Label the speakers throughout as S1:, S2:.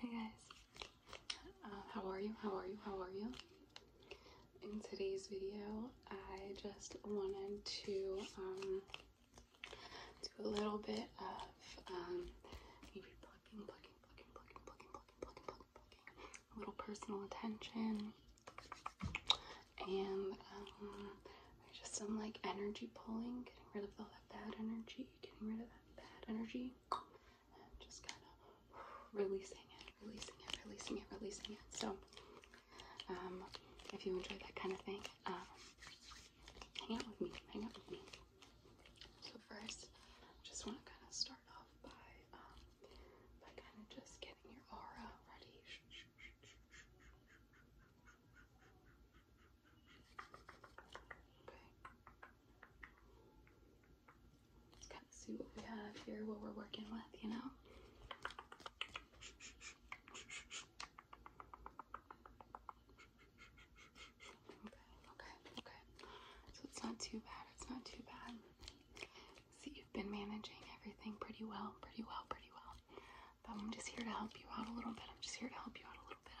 S1: Hey guys, uh, how are you? How are you? How are you? In today's video, I just wanted to um, do a little bit of um, maybe plucking, plucking, plucking, plucking, plucking, plucking, plucking, plucking, plucking, a little personal attention, and um, just some like energy pulling, getting rid of all that bad energy, getting rid of bad energy just kind of releasing it, releasing it, releasing it, releasing it. So, um, if you enjoy that kind of thing, um, hang out with me, hang out with me. So first, just want to kind of start off by, um, by kind of just getting your aura ready. Just kind of see what we have here, what we're working with, you know? Okay, okay, okay. So it's not too bad, it's not too bad. See, you've been managing everything pretty well, pretty well, pretty well. But I'm just here to help you out a little bit. I'm just here to help you out a little bit.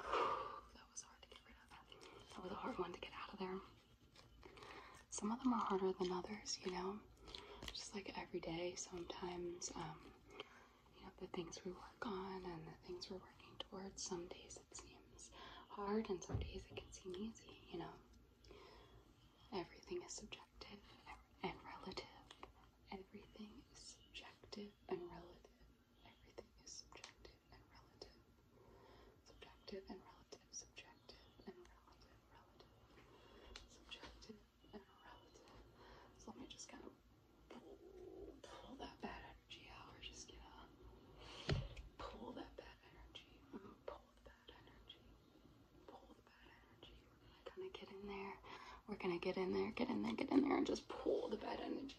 S1: That was hard to get rid of. That was a hard one to get out of there. Some of them are harder than others, you know? Just like every day, sometimes, um, you know, the things we work on and the things we're working towards, some days it seems hard and some days it can seem easy, you know? Everything is subjective and relative. Everything is subjective and relative. Everything is subjective and relative. Subjective and relative. Subjective and relative. Relative. Subjective and relative. So let me just kind of pull, that bad energy out. We're just gonna pull that bad energy. I'm going pull the bad energy. Pull the bad energy. We're gonna kind of get in there. We're gonna get in there, get in there, get in there, and just pull the bad energy.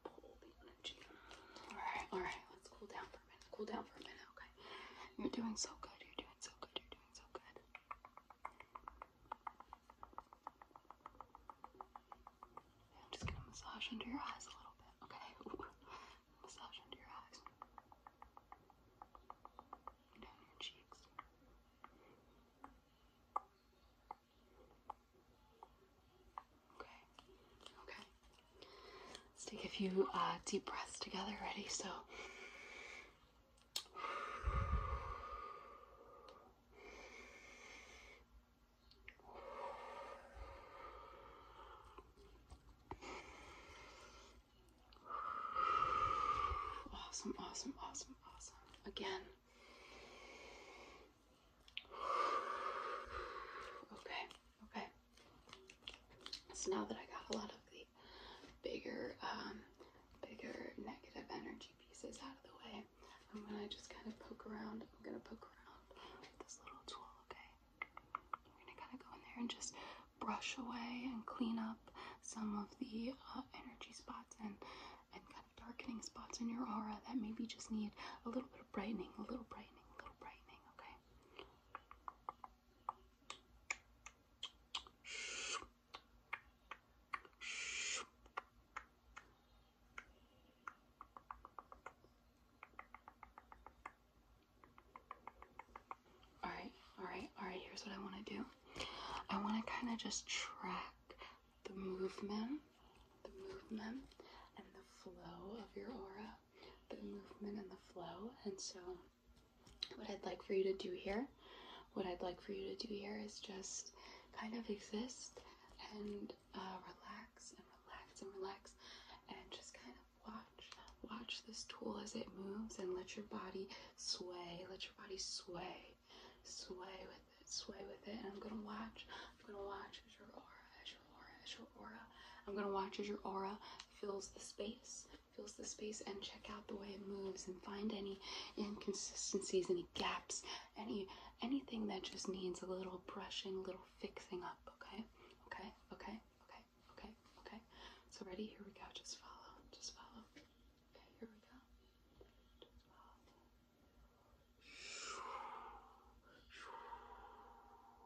S1: pull the energy. Alright, alright, let's cool down for a minute. Cool down for a minute, okay? You're doing so good, you're doing so good, you're doing so good. I'm just gonna massage under your eyes a little bit, okay? Ooh. Massage under your eyes. Down your cheeks. Okay. Okay. Let's take a few uh, deep breaths together. Ready? So. Awesome, awesome, awesome, awesome. Again. Okay, okay. So now that I got a lot of the bigger, um, bigger negative energy pieces out of the way, I'm gonna just kind of poke around. I'm gonna poke around with this little tool, okay? I'm gonna kind of go in there and just brush away and clean up some of the uh, energy spots and and kind of darkening spots in your aura that maybe just need a little bit of brightening, a little brightening, a little brightening, okay? All right, all right, all right. Here's what I want to do. I want to kind of just track the movement, the movement, and the flow of your aura the movement and the flow. And so, what I'd like for you to do here, what I'd like for you to do here is just kind of exist and uh, relax and relax and relax and just kind of watch watch this tool as it moves and let your body sway let your body sway sway with it sway with it and i'm gonna watch i'm gonna watch as your aura as your aura as your aura. I'm gonna watch as your aura fills the space, fills the space, and check out the way it moves and find any inconsistencies, any gaps, any anything that just needs a little brushing, little fixing up. Okay, okay, okay, okay, okay, okay. So ready? Here we go. Just follow. Just follow. Okay, here we go. Just follow.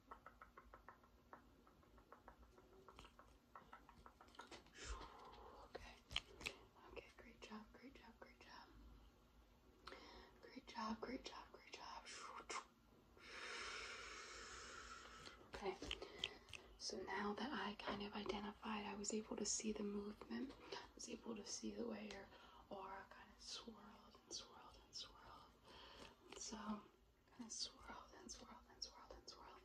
S1: Okay. Okay, great job, great job, great job. Great job, great job, great job. Okay. So now that I kind of identified, I was able to see the movement. I was able to see the way your aura kind of swirled and swirled and swirled. so and swirl and swirl and swirl and swirl.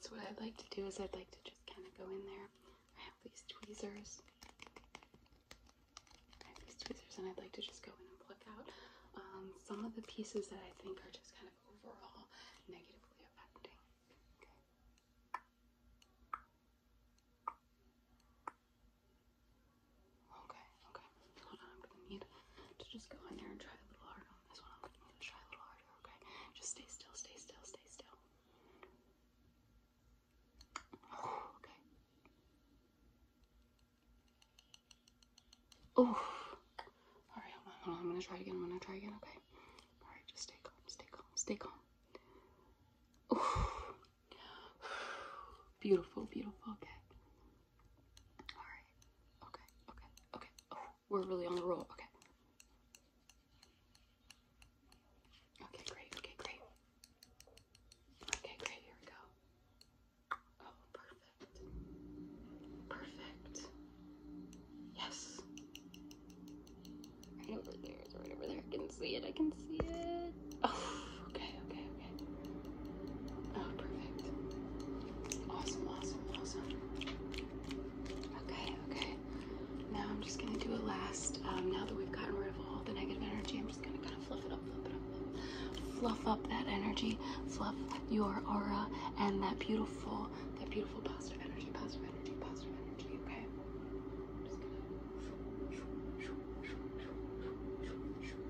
S1: So what I'd like to do is I'd like to just kind of go in there. I have these tweezers. I have these tweezers and I'd like to just go in and pluck out um, some of the pieces that I think are just kind of overall negatively affecting. Okay. Okay, okay. Hold on, I'm gonna need to just go in there and try a little harder on this one. I'm gonna need to try a little harder, okay? Just stay still, stay still, stay still. Oh, okay. Oh. Alright, hold on, I'm gonna try again. I'm gonna try again, okay? Alright, just stay calm, stay calm, stay calm. Beautiful, beautiful. Okay. Alright. Okay, okay, okay. Oh, we're really on the roll. Okay. Okay, great, okay, great. Okay, great, here we go. Oh, perfect. Perfect. Yes. Right over there, right over there. I can see it, I can see it. Oh. Okay, okay, okay. Oh, perfect. Awesome, awesome, awesome. Okay, okay. Now I'm just gonna do a last. Um, now that we've gotten rid of all the negative energy, I'm just gonna kind of fluff it up, fluff it up, fluff up that energy, fluff your aura, and that beautiful, that beautiful positive energy, positive energy, positive energy. Okay.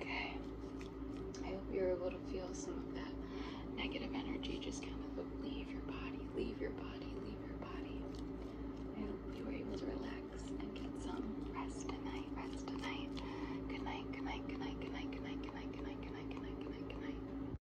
S1: Okay. I hope you're able to feel some of that negative energy just kind of leave your body, leave your body, leave your body. I hope you were able to relax and get some rest tonight, rest tonight. Good night, good night, good night, good night, good night, good night, good night, good night, good night, good night, good night, good night.